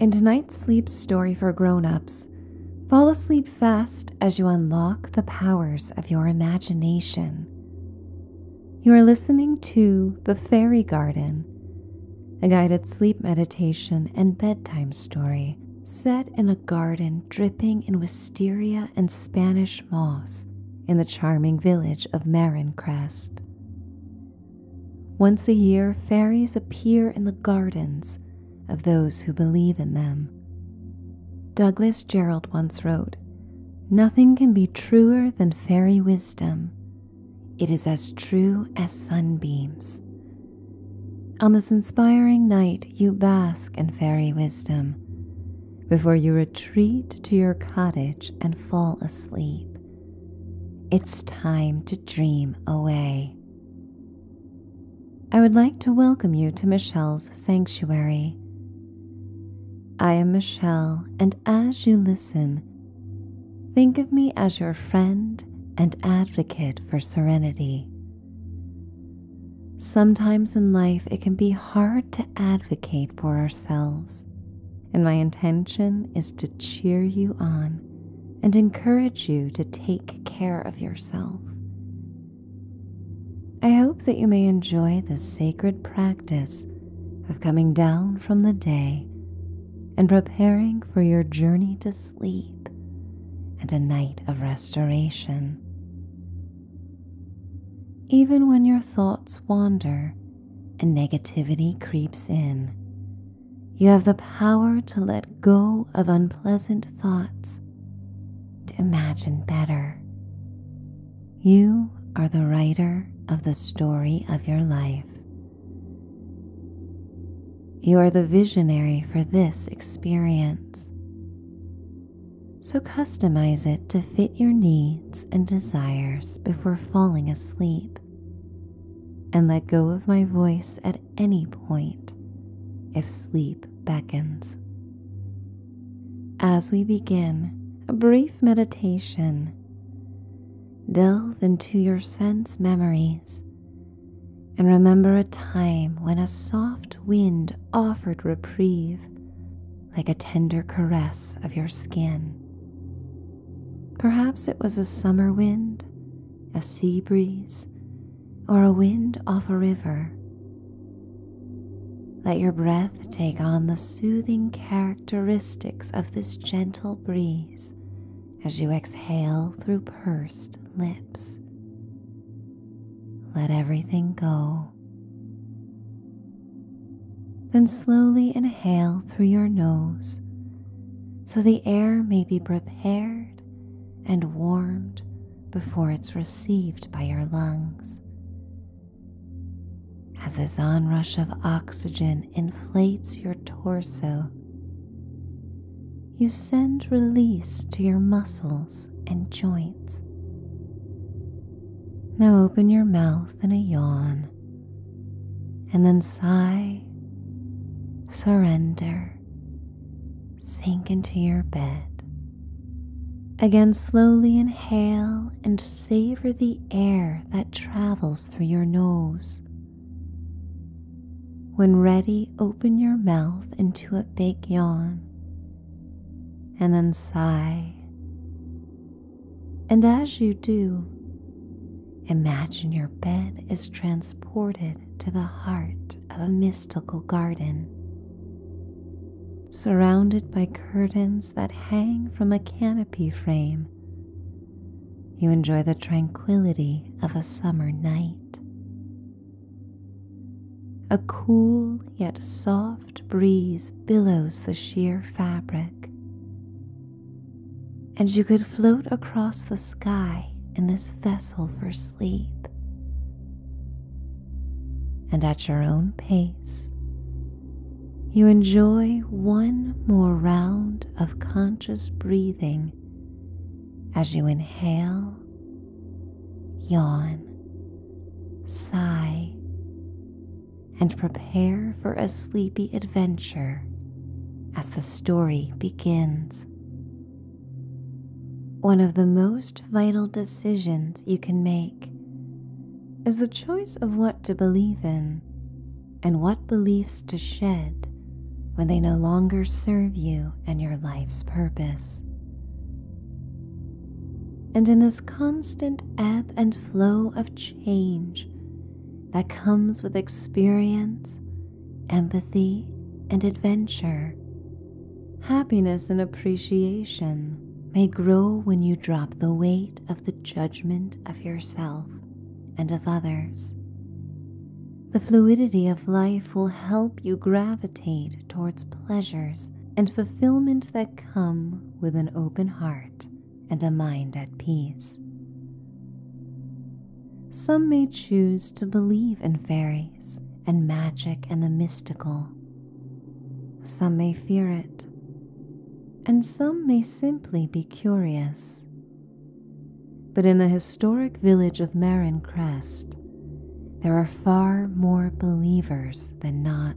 In tonight's sleep story for grown ups, fall asleep fast as you unlock the powers of your imagination. You are listening to The Fairy Garden, a guided sleep meditation and bedtime story set in a garden dripping in wisteria and Spanish moss in the charming village of Marin once a year, fairies appear in the gardens of those who believe in them. Douglas Jerrold once wrote Nothing can be truer than fairy wisdom. It is as true as sunbeams. On this inspiring night, you bask in fairy wisdom before you retreat to your cottage and fall asleep. It's time to dream away. I would like to welcome you to Michelle's Sanctuary. I am Michelle, and as you listen, think of me as your friend and advocate for serenity. Sometimes in life, it can be hard to advocate for ourselves and my intention is to cheer you on and encourage you to take care of yourself. I hope that you may enjoy the sacred practice of coming down from the day and preparing for your journey to sleep and a night of restoration. Even when your thoughts wander and negativity creeps in, you have the power to let go of unpleasant thoughts, to imagine better. You are the writer of the story of your life. You are the visionary for this experience. So customize it to fit your needs and desires before falling asleep and let go of my voice at any point if sleep beckons. As we begin a brief meditation, delve into your sense memories and remember a time when a soft wind offered reprieve like a tender caress of your skin. Perhaps it was a summer wind a sea breeze, or a wind off a river. Let your breath take on the soothing characteristics of this gentle breeze as you exhale through pursed lips. Let everything go. Then slowly inhale through your nose, so the air may be prepared and warmed before it's received by your lungs. As this onrush of oxygen inflates your torso, you send release to your muscles and joints. Now open your mouth in a yawn and then sigh, surrender, sink into your bed. Again, slowly inhale and savor the air that travels through your nose. When ready, open your mouth into a big yawn and then sigh. And as you do, Imagine your bed is transported to the heart of a mystical garden. Surrounded by curtains that hang from a canopy frame, you enjoy the tranquility of a summer night. A cool yet soft breeze billows the sheer fabric, and you could float across the sky in this vessel for sleep. And at your own pace, you enjoy one more round of conscious breathing as you inhale, yawn, sigh, and prepare for a sleepy adventure as the story begins. One of the most vital decisions you can make is the choice of what to believe in and what beliefs to shed when they no longer serve you and your life's purpose. And in this constant ebb and flow of change that comes with experience empathy and adventure. Happiness and appreciation may grow when you drop the weight of the judgment of yourself and of others. The fluidity of life will help you gravitate towards pleasures and fulfillment that come with an open heart and a mind at peace. Some may choose to believe in fairies and magic and the mystical. Some may fear it, and some may simply be curious. But in the historic village of Marin Crest, there are far more believers than not.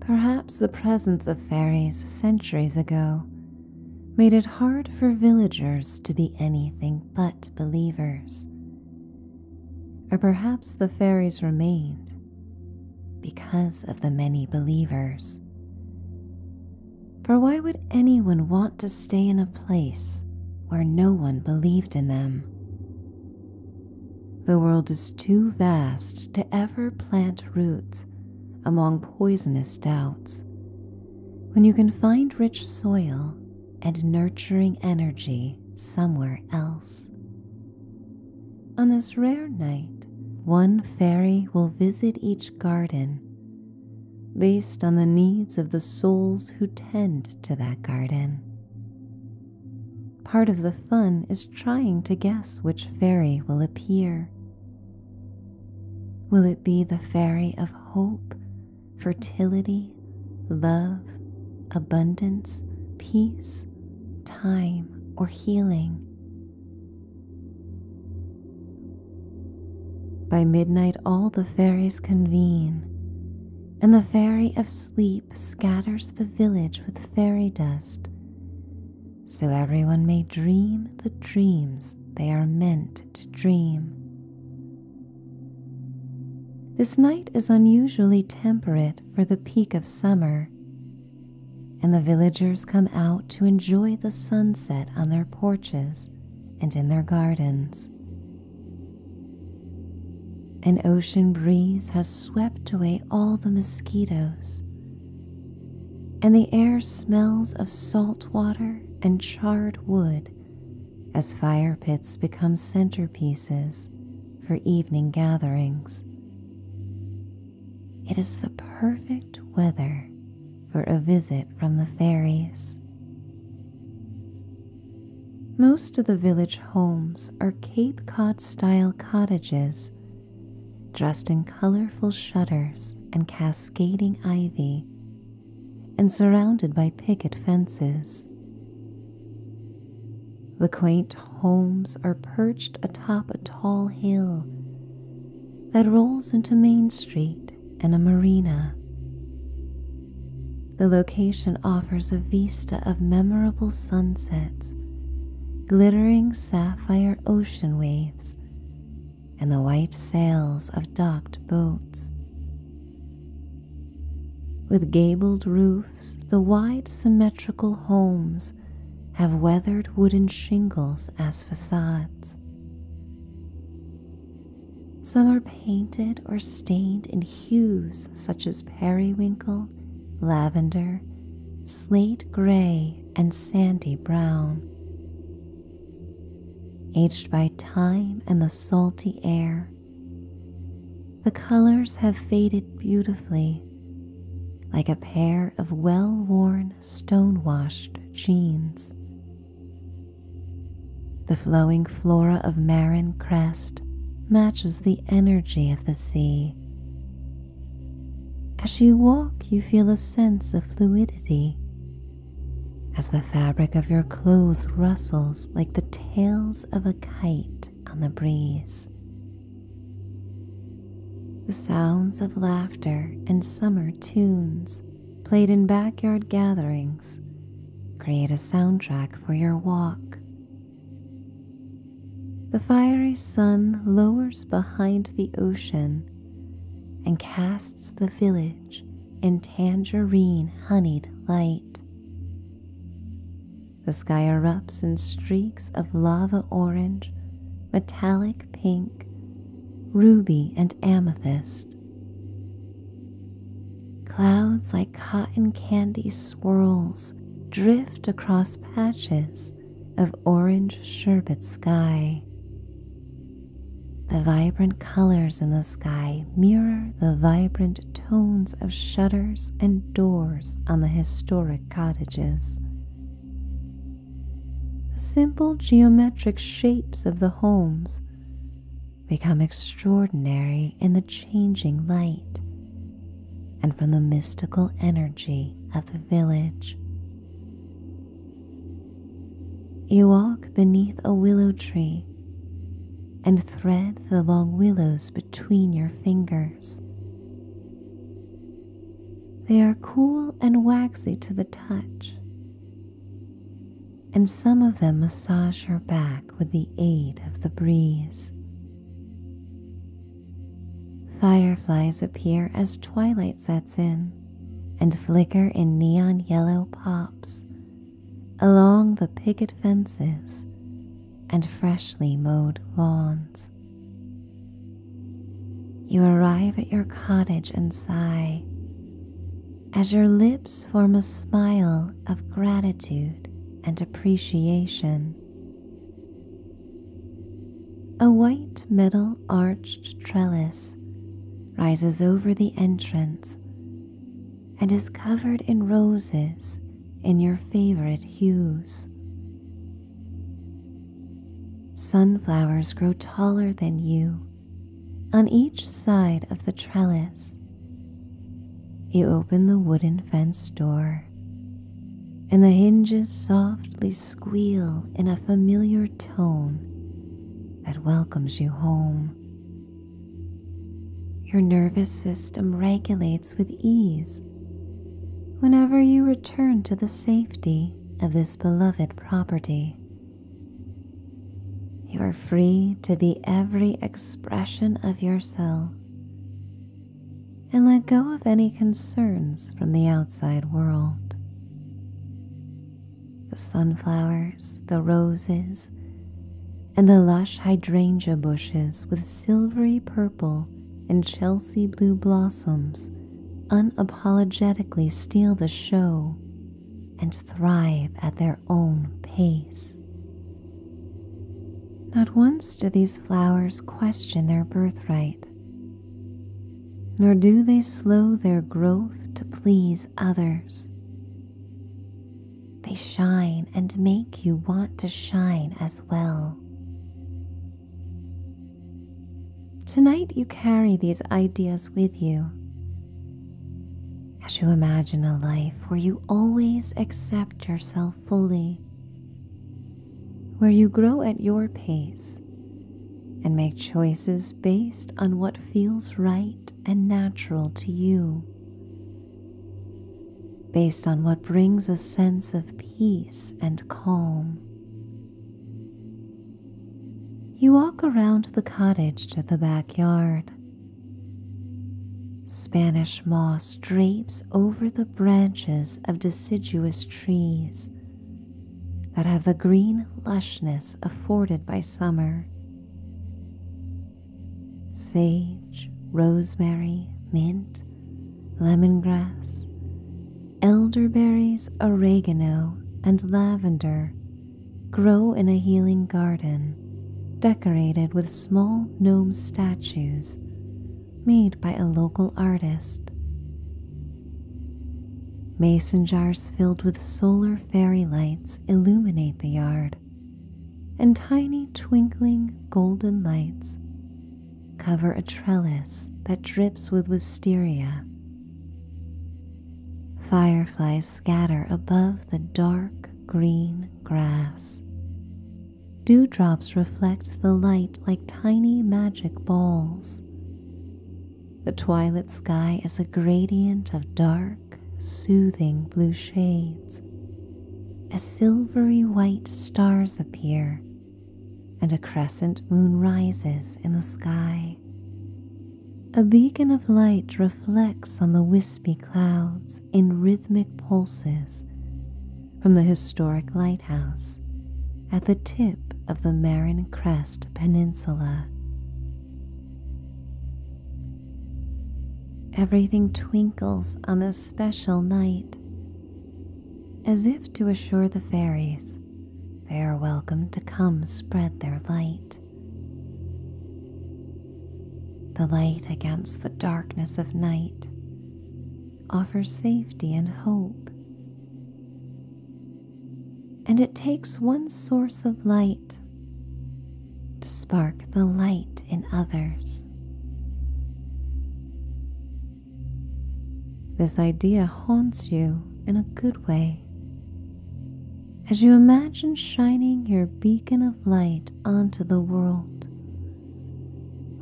Perhaps the presence of fairies centuries ago made it hard for villagers to be anything but believers. Or perhaps the fairies remained because of the many believers. For why would anyone want to stay in a place where no one believed in them? The world is too vast to ever plant roots among poisonous doubts. When you can find rich soil and nurturing energy somewhere else. On this rare night, one fairy will visit each garden based on the needs of the souls who tend to that garden. Part of the fun is trying to guess which fairy will appear. Will it be the fairy of hope, fertility, love, abundance, peace, time, or healing? By midnight, all the fairies convene, and the fairy of sleep scatters the village with fairy dust so everyone may dream the dreams they are meant to dream. This night is unusually temperate for the peak of summer, and the villagers come out to enjoy the sunset on their porches and in their gardens. An ocean breeze has swept away all the mosquitoes and the air smells of salt water and charred wood as fire pits become centerpieces for evening gatherings. It is the perfect weather for a visit from the fairies. Most of the village homes are Cape Cod style cottages dressed in colorful shutters and cast cascading ivy and surrounded by picket fences. The quaint homes are perched atop a tall hill that rolls into Main Street and a marina. The location offers a vista of memorable sunsets, glittering sapphire ocean waves, and the white sails of docked boats. With gabled roofs, the wide symmetrical homes have weathered wooden shingles as facades. Some are painted or stained in hues such as periwinkle, lavender, slate gray, and sandy brown. Aged by time and the salty air, the colors have faded beautifully like a pair of well worn stone washed jeans. The flowing flora of Marin Crest matches the energy of the sea. As you walk, you feel a sense of fluidity as the fabric of your clothes rustles like the tails of a kite on the breeze. The sounds of laughter and summer tunes played in backyard gatherings create a soundtrack for your walk. The fiery sun lowers behind the ocean and casts the village in tangerine honeyed light. The sky erupts in streaks of lava orange, metallic pink, ruby, and amethyst. Clouds like cotton candy swirls drift across patches of orange sherbet sky. The vibrant colors in the sky mirror the vibrant tones of shutters and doors on the historic cottages. The simple geometric shapes of the homes become extraordinary in the changing light and from the mystical energy of the village. You walk beneath a willow tree and thread the long willows between your fingers. They are cool and waxy to the touch, and some of them massage your back with the aid of the breeze. Fireflies appear as twilight sets in and flicker in neon yellow pops along the picket fences and freshly mowed lawns. You arrive at your cottage and sigh as your lips form a smile of gratitude and appreciation. A white metal arched trellis rises over the entrance and is covered in roses in your favorite hues. Sunflowers grow taller than you on each side of the trellis. You open the wooden fence door, and the hinges softly squeal in a familiar tone that welcomes you home. Your nervous system regulates with ease whenever you return to the safety of this beloved property. You are free to be every expression of yourself and let go of any concerns from the outside world the sunflowers, the roses, and the lush hydrangea bushes with silvery purple and Chelsea blue blossoms unapologetically steal the show and thrive at their own pace. Not once do these flowers question their birthright nor do they slow their growth to please others. They shine and make you want to shine as well. Tonight, you carry these ideas with you as you imagine a life where you always accept yourself fully, where you grow at your pace and make choices based on what feels right and natural to you, based on what brings a sense of peace and calm. You walk around the cottage to the backyard. Spanish moss drapes over the branches of deciduous trees that have the green lushness afforded by summer. Sage, rosemary, mint, lemongrass, elderberries, oregano, and lavender grow in a healing garden decorated with small gnome statues made by a local artist. Mason jars filled with solar fairy lights illuminate the yard, and tiny twinkling golden lights cover a trellis that drips with wisteria. Fireflies scatter above the dark green grass. Dewdrops reflect the light like tiny magic balls, the twilight sky is a gradient of dark, soothing blue shades. A silvery white stars appear, and a crescent moon rises in the sky. A beacon of light reflects on the wispy clouds in rhythmic pulses from the historic lighthouse at the tip of the Marin Crest Peninsula. Everything twinkles on this special night, as if to assure the fairies they are welcome to come spread their light. The light against the darkness of night offers safety and hope and it takes one source of light to spark the light in others. This idea haunts you in a good way as you imagine shining your beacon of light onto the world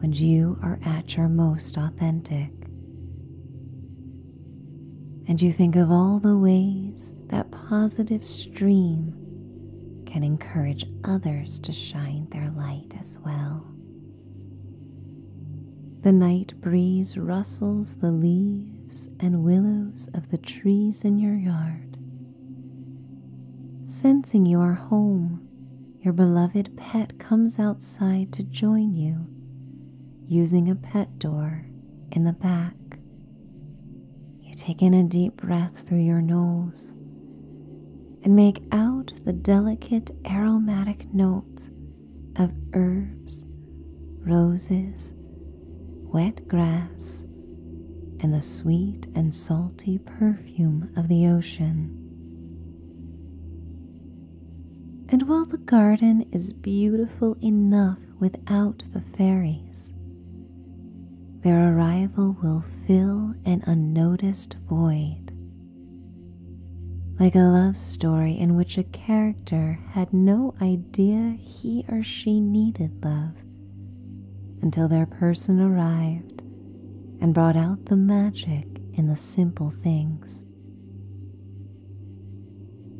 when you are at your most authentic and you think of all the ways that positive stream can encourage others to shine their light as well. The night breeze rustles the leaves and willows of the trees in your yard. Sensing you are home, your beloved pet comes outside to join you using a pet door in the back you take in a deep breath through your nose and make out the delicate aromatic notes of herbs, roses, wet grass, and the sweet and salty perfume of the ocean. And while the garden is beautiful enough without the fairies. Their arrival will fill an unnoticed void. Like a love story in which a character had no idea he or she needed love until their person arrived and brought out the magic in the simple things.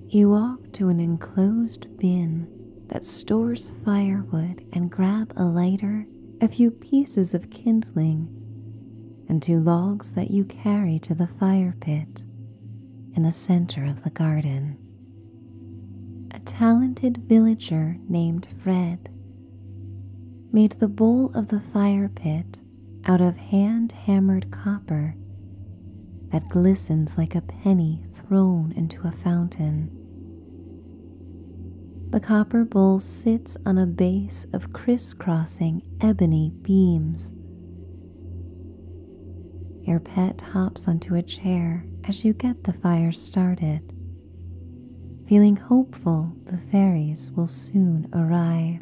You walk to an enclosed bin that stores firewood and grab a lighter, a few pieces of kindling, and two logs that you carry to the fire pit in the center of the garden. A talented villager named Fred made the bowl of the fire pit out of hand hammered copper that glistens like a penny thrown into a fountain. The copper bowl sits on a base of crisscrossing ebony beams. Your pet hops onto a chair as you get the fire started, feeling hopeful the fairies will soon arrive.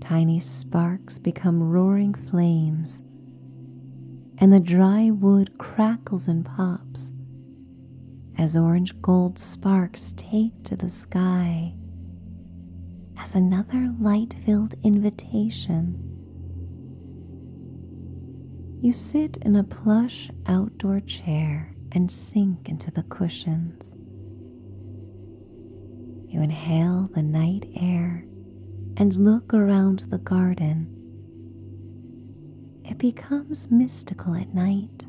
Tiny sparks become roaring flames and the dry wood crackles and pops as orange gold sparks take to the sky as another light filled invitation. You sit in a plush outdoor chair and sink into the cushions. You inhale the night air and look around the garden. It becomes mystical at night.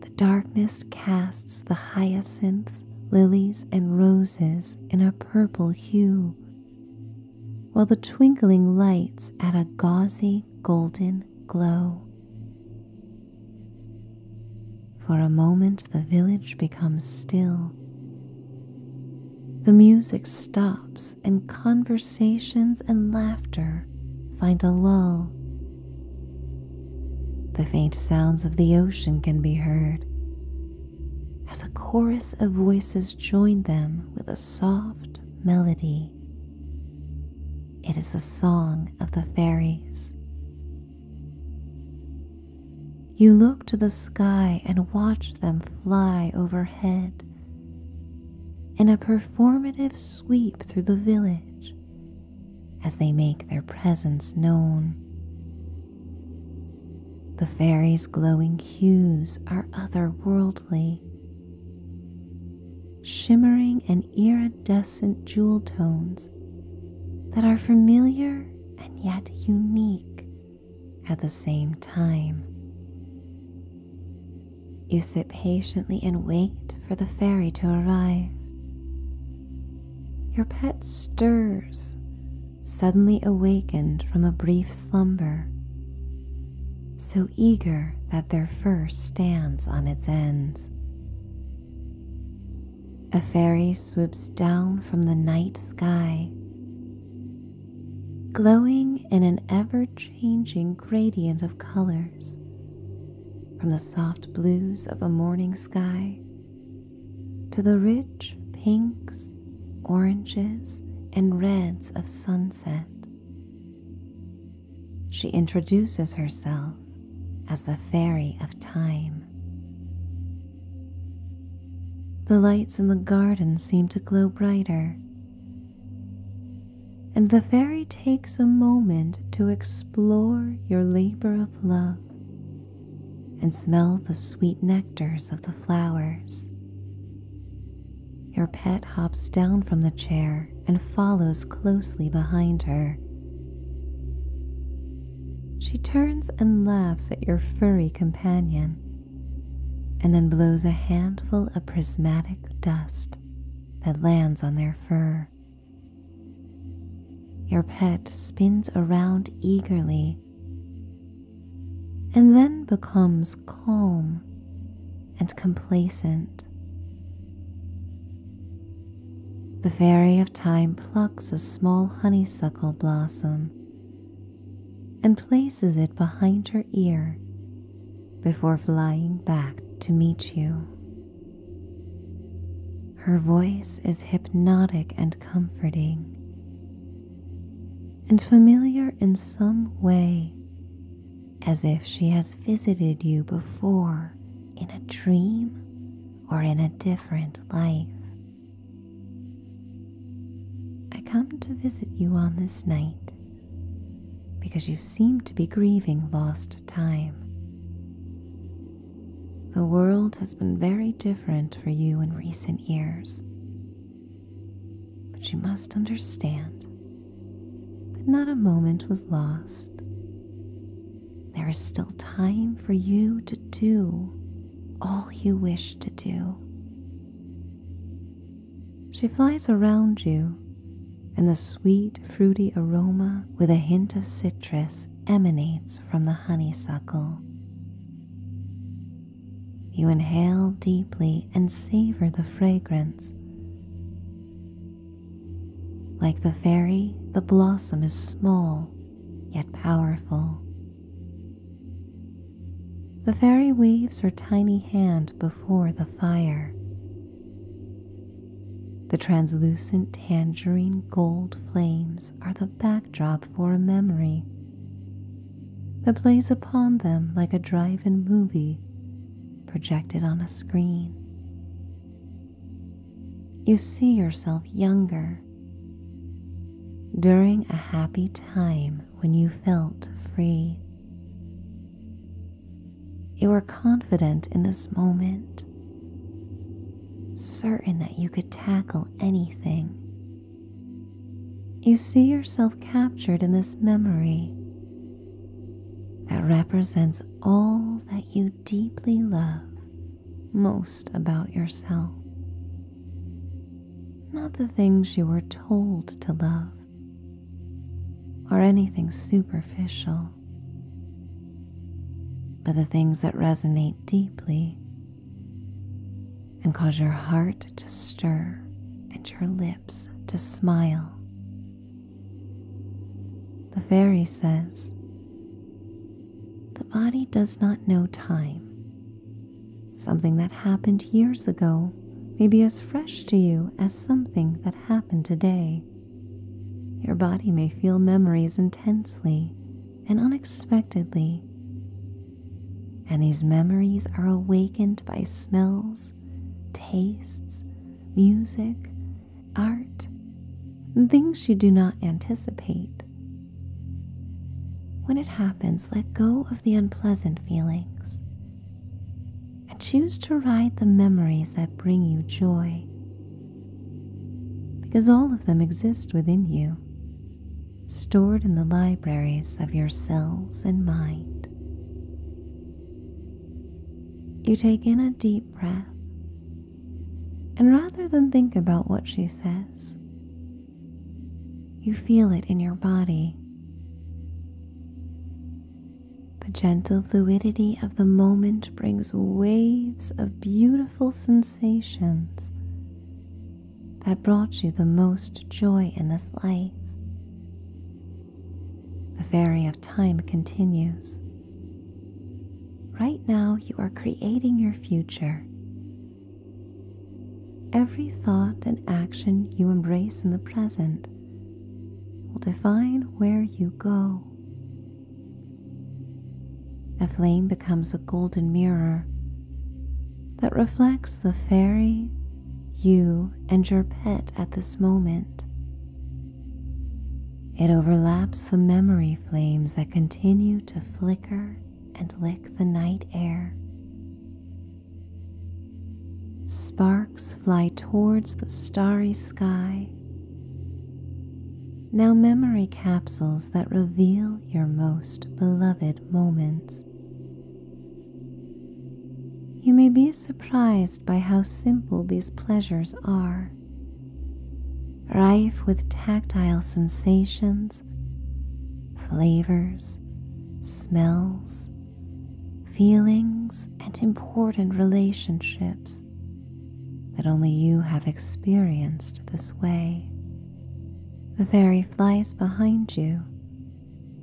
The darkness casts the hyacinths, lilies, and roses in a purple hue, while the twinkling lights add a gauzy golden glow. For a moment, the village becomes still. The music stops, and conversations and laughter find a lull. The faint sounds of the ocean can be heard as a chorus of voices join them with a soft melody. It is the song of the fairies. You look to the sky and watch them fly overhead in a performative sweep through the village as they make their presence known. The fairies' glowing hues are otherworldly, shimmering and iridescent jewel tones that are familiar and yet unique at the same time. You sit patiently and wait for the fairy to arrive. Your pet stirs, suddenly awakened from a brief slumber, so eager that their fur stands on its ends a fairy swoops down from the night sky, glowing in an ever changing gradient of colors, from the soft blues of a morning sky to the rich pinks, oranges, and reds of sunset. She introduces herself as the Fairy of Time. The lights in the garden seem to glow brighter, and the fairy takes a moment to explore your labor of love and smell the sweet nectars of the flowers. Your pet hops down from the chair and follows closely behind her. She turns and laughs at your furry companion, and then blows a handful of prismatic dust that lands on their fur. Your pet spins around eagerly and then becomes calm and complacent. The fairy of time plucks a small honeysuckle blossom and places it behind her ear before flying back to meet you. Her voice is hypnotic and comforting, and familiar in some way, as if she has visited you before in a dream or in a different life. I come to visit you on this night because you seem to be grieving lost time. The world has been very different for you in recent years. But you must understand that not a moment was lost. There is still time for you to do all you wish to do. She flies around you, and the sweet, fruity aroma with a hint of citrus emanates from the honeysuckle. You inhale deeply and savor the fragrance. Like the fairy, the blossom is small yet powerful. The fairy waves her tiny hand before the fire. The translucent tangerine gold flames are the backdrop for a memory that plays upon them like a drive in movie projected on a screen. You see yourself younger during a happy time when you felt free, you were confident in this moment, certain that you could tackle anything. You see yourself captured in this memory that represents all that you deeply love most about yourself not the things you were told to love, or anything superficial, but the things that resonate deeply and cause your heart to stir and your lips to smile. The fairy says, The body does not know time, Something that happened years ago may be as fresh to you as something that happened today. Your body may feel memories intensely and unexpectedly. And these memories are awakened by smells, tastes, music, art, and things you do not anticipate. When it happens, let go of the unpleasant feelings and choose to ride the memories that bring you joy because all of them exist within you, stored in the libraries of your cells and mind. You take in a deep breath, and rather than think about what she says, you feel it in your body. The gentle fluidity of the moment brings waves of beautiful sensations that brought you the most joy in this life. The fairy of time continues. Right now, you are creating your future Every thought and action you embrace in the present will define where you go. A flame becomes a golden mirror that reflects the fairy, you, and your pet at this moment. It overlaps the memory flames that continue to flicker and lick the night air. Sparks fly towards the starry sky. Now, memory capsules that reveal your most beloved moments. You may be surprised by how simple these pleasures are, rife with tactile sensations flavors, smells, feelings, and important relationships that only you have experienced this way. The fairy flies behind you,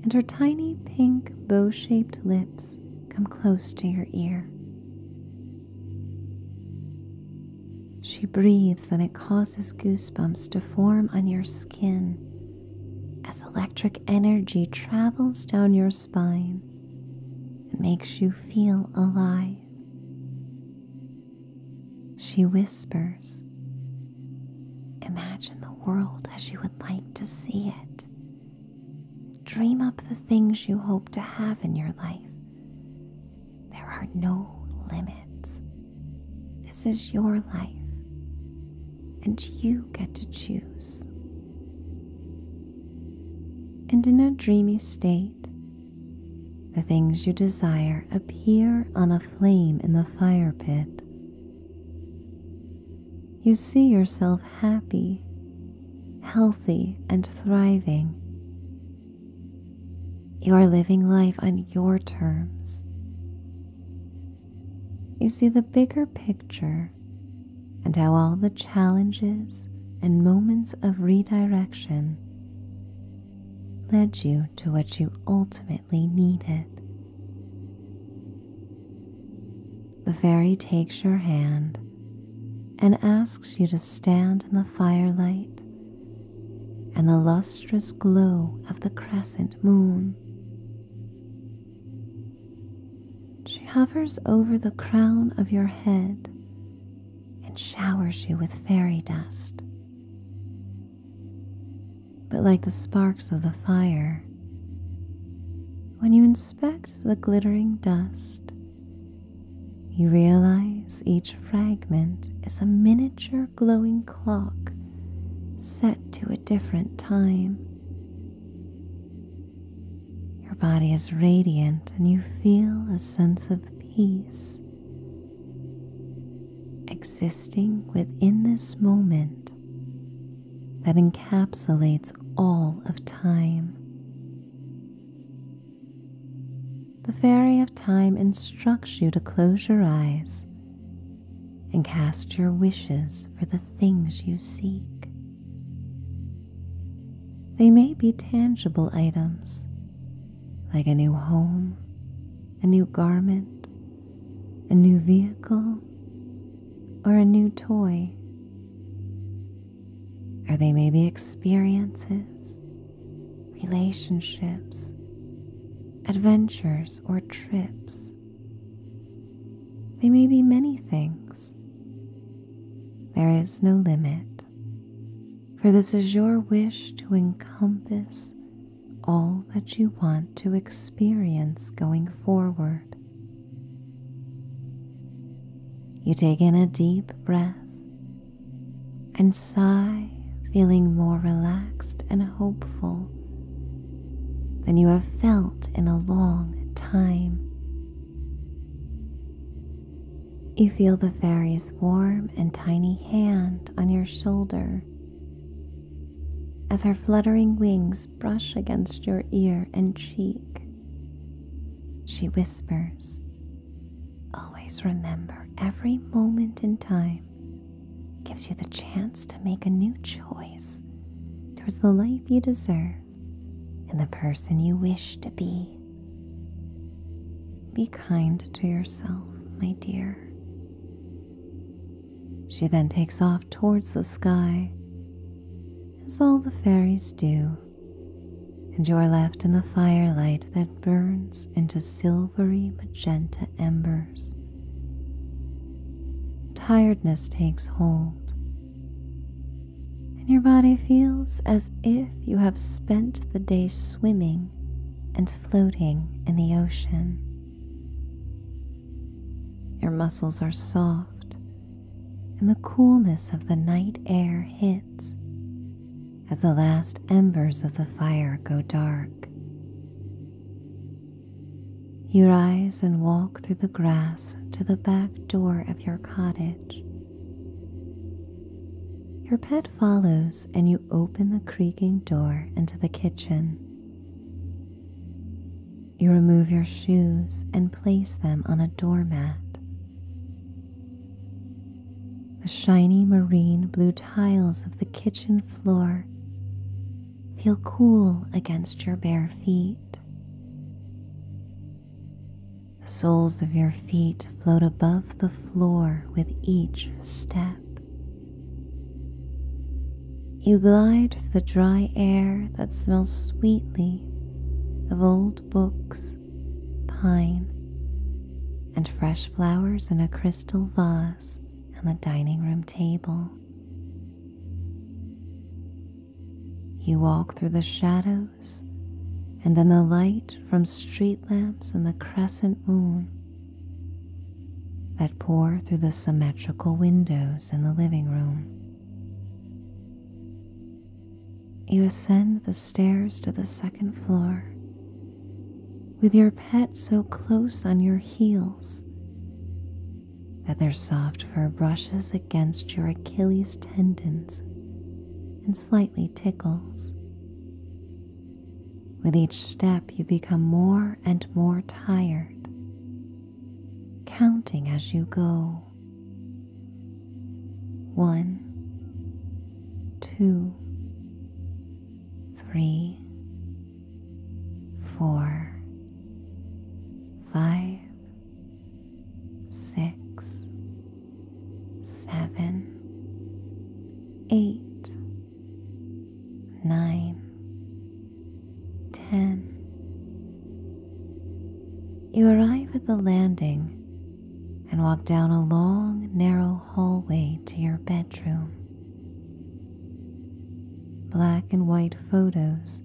and her tiny pink bow shaped lips come close to your ear. She breathes and it causes goosebumps to form on your skin as electric energy travels down your spine it makes you feel alive. She whispers, Imagine the world as you would like to see it. Dream up the things you hope to have in your life. There are no limits. This is your life, and you get to choose. And in a dreamy state, the things you desire appear on a flame in the fire pit. You see yourself happy, healthy, and thriving. You are living life on your terms you see the bigger picture and how all the challenges and moments of redirection led you to what you ultimately needed. The fairy takes your hand and asks you to stand in the firelight and the lustrous glow of the crescent moon. She hovers over the crown of your head and showers you with fairy dust. But like the sparks of the fire, when you inspect the glittering dust, you realize each fragment is a miniature glowing clock set to a different time. Your body is radiant and you feel a sense of peace existing within this moment that encapsulates all of time. The fairy of time instructs you to close your eyes and cast your wishes for the things you seek. They may be tangible items like a new home, a new garment, a new vehicle, or a new toy. Or they may be experiences, relationships, adventures, or trips. They may be many things. There is no limit, for this is your wish to encompass all that you want to experience going forward. You take in a deep breath and sigh, feeling more relaxed and hopeful than you have felt in a long time. You feel the fairy's warm and tiny hand on your shoulder as her fluttering wings brush against your ear and cheek. She whispers, Always remember every moment in time gives you the chance to make a new choice towards the life you deserve and the person you wish to be. Be kind to yourself, my dear. She then takes off towards the sky, as all the fairies do, and you are left in the firelight that burns into silvery magenta embers. Tiredness takes hold, and your body feels as if you have spent the day swimming and floating in the ocean. Your muscles are soft, and the coolness of the night air hits as the last embers of the fire go dark. You rise and walk through the grass to the back door of your cottage. Your pet follows, and you open the creaking door into the kitchen. You remove your shoes and place them on a doormat. The shiny marine blue tiles of the kitchen floor feel cool against your bare feet. The soles of your feet float above the floor with each step. You glide through the dry air that smells sweetly of old books, pine, and fresh flowers in a crystal vase glass on the dining room table. You walk through the shadows and then the light from street lamps and the crescent moon that pour through the symmetrical windows in the living room. You ascend the stairs to the second floor with your pet so close on your heel that their soft fur brushes against your Achilles tendons and slightly tickles. With each step, you become more and more tired, counting as you go. One, two, three, four, five, six, seven, eight, nine, ten. You arrive at the landing and walk down a long, narrow hallway to your bedroom. Black and white photos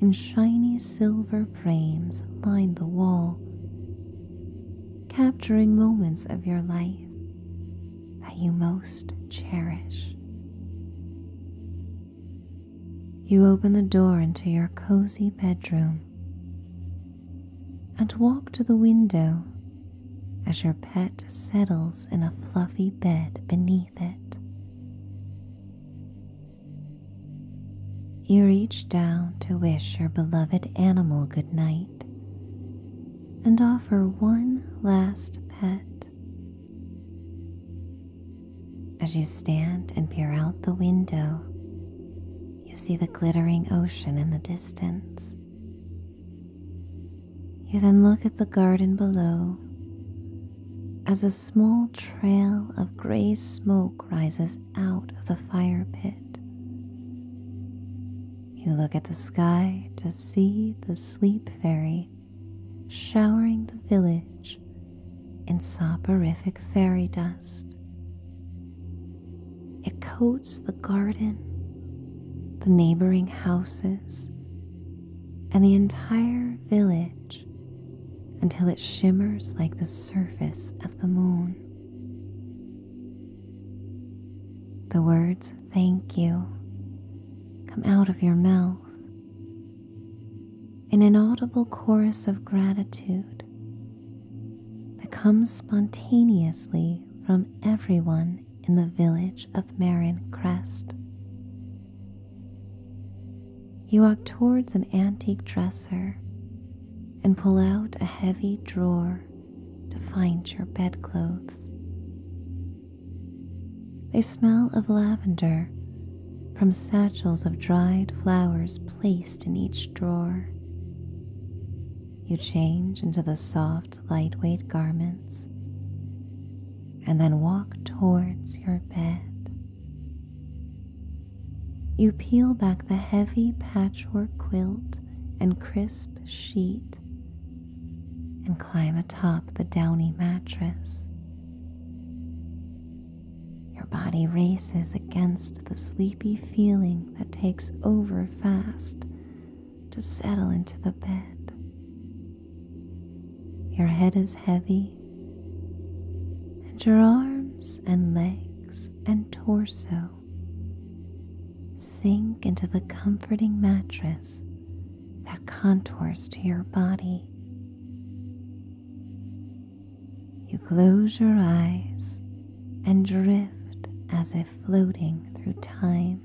in shiny silver frames line the wall, capturing moments of your life that you most cherish. You open the door into your cozy bedroom and walk to the window as your pet settles in a fluffy bed beneath it. You reach down to wish your beloved animal good night and offer one last pet. As you stand and peer out the window, you see the glittering ocean in the distance. You then look at the garden below as a small trail of gray smoke rises out of the fire pit. You look at the sky to see the sleep fairy showering the village in soporific fairy dust. It coats the garden, the neighboring houses, and the entire village until it shimmers like the surface of the moon. The words thank you come out of your mouth. in An audible chorus of gratitude that comes spontaneously from everyone in the village of Marin Crest. You walk towards an antique dresser and pull out a heavy drawer to find your bedclothes. They smell of lavender from satchels of dried flowers placed in each drawer. You change into the soft, lightweight garments and then walk towards your bed. You peel back the heavy patchwork quilt and crisp sheet and climb atop the downy mattress. Your body races against the sleepy feeling that takes over fast to settle into the bed. Your head is heavy, and your arms and legs and torso sink into the comforting mattress that contours to your body. You close your eyes and drift as if floating through time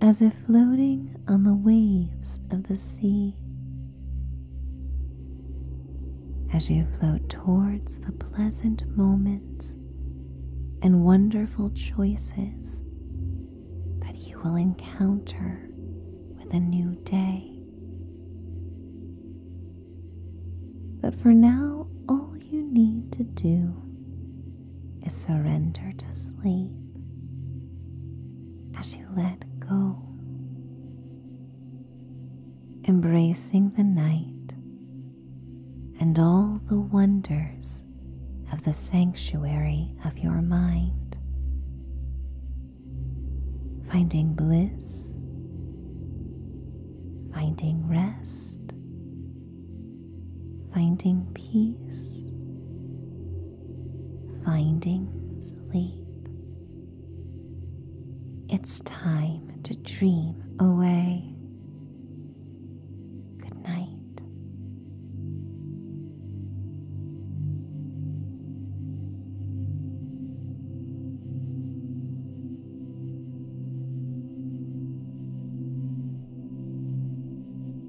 as if floating on the waves of the sea. As you float towards the pleasant moments and wonderful choices that you will encounter with a new day. But for now, all you need to do is surrender to sleep as you let go, embracing the night and all the wonders of the sanctuary of your mind, finding bliss, finding rest, finding peace finding sleep. It's time to dream away. Good night.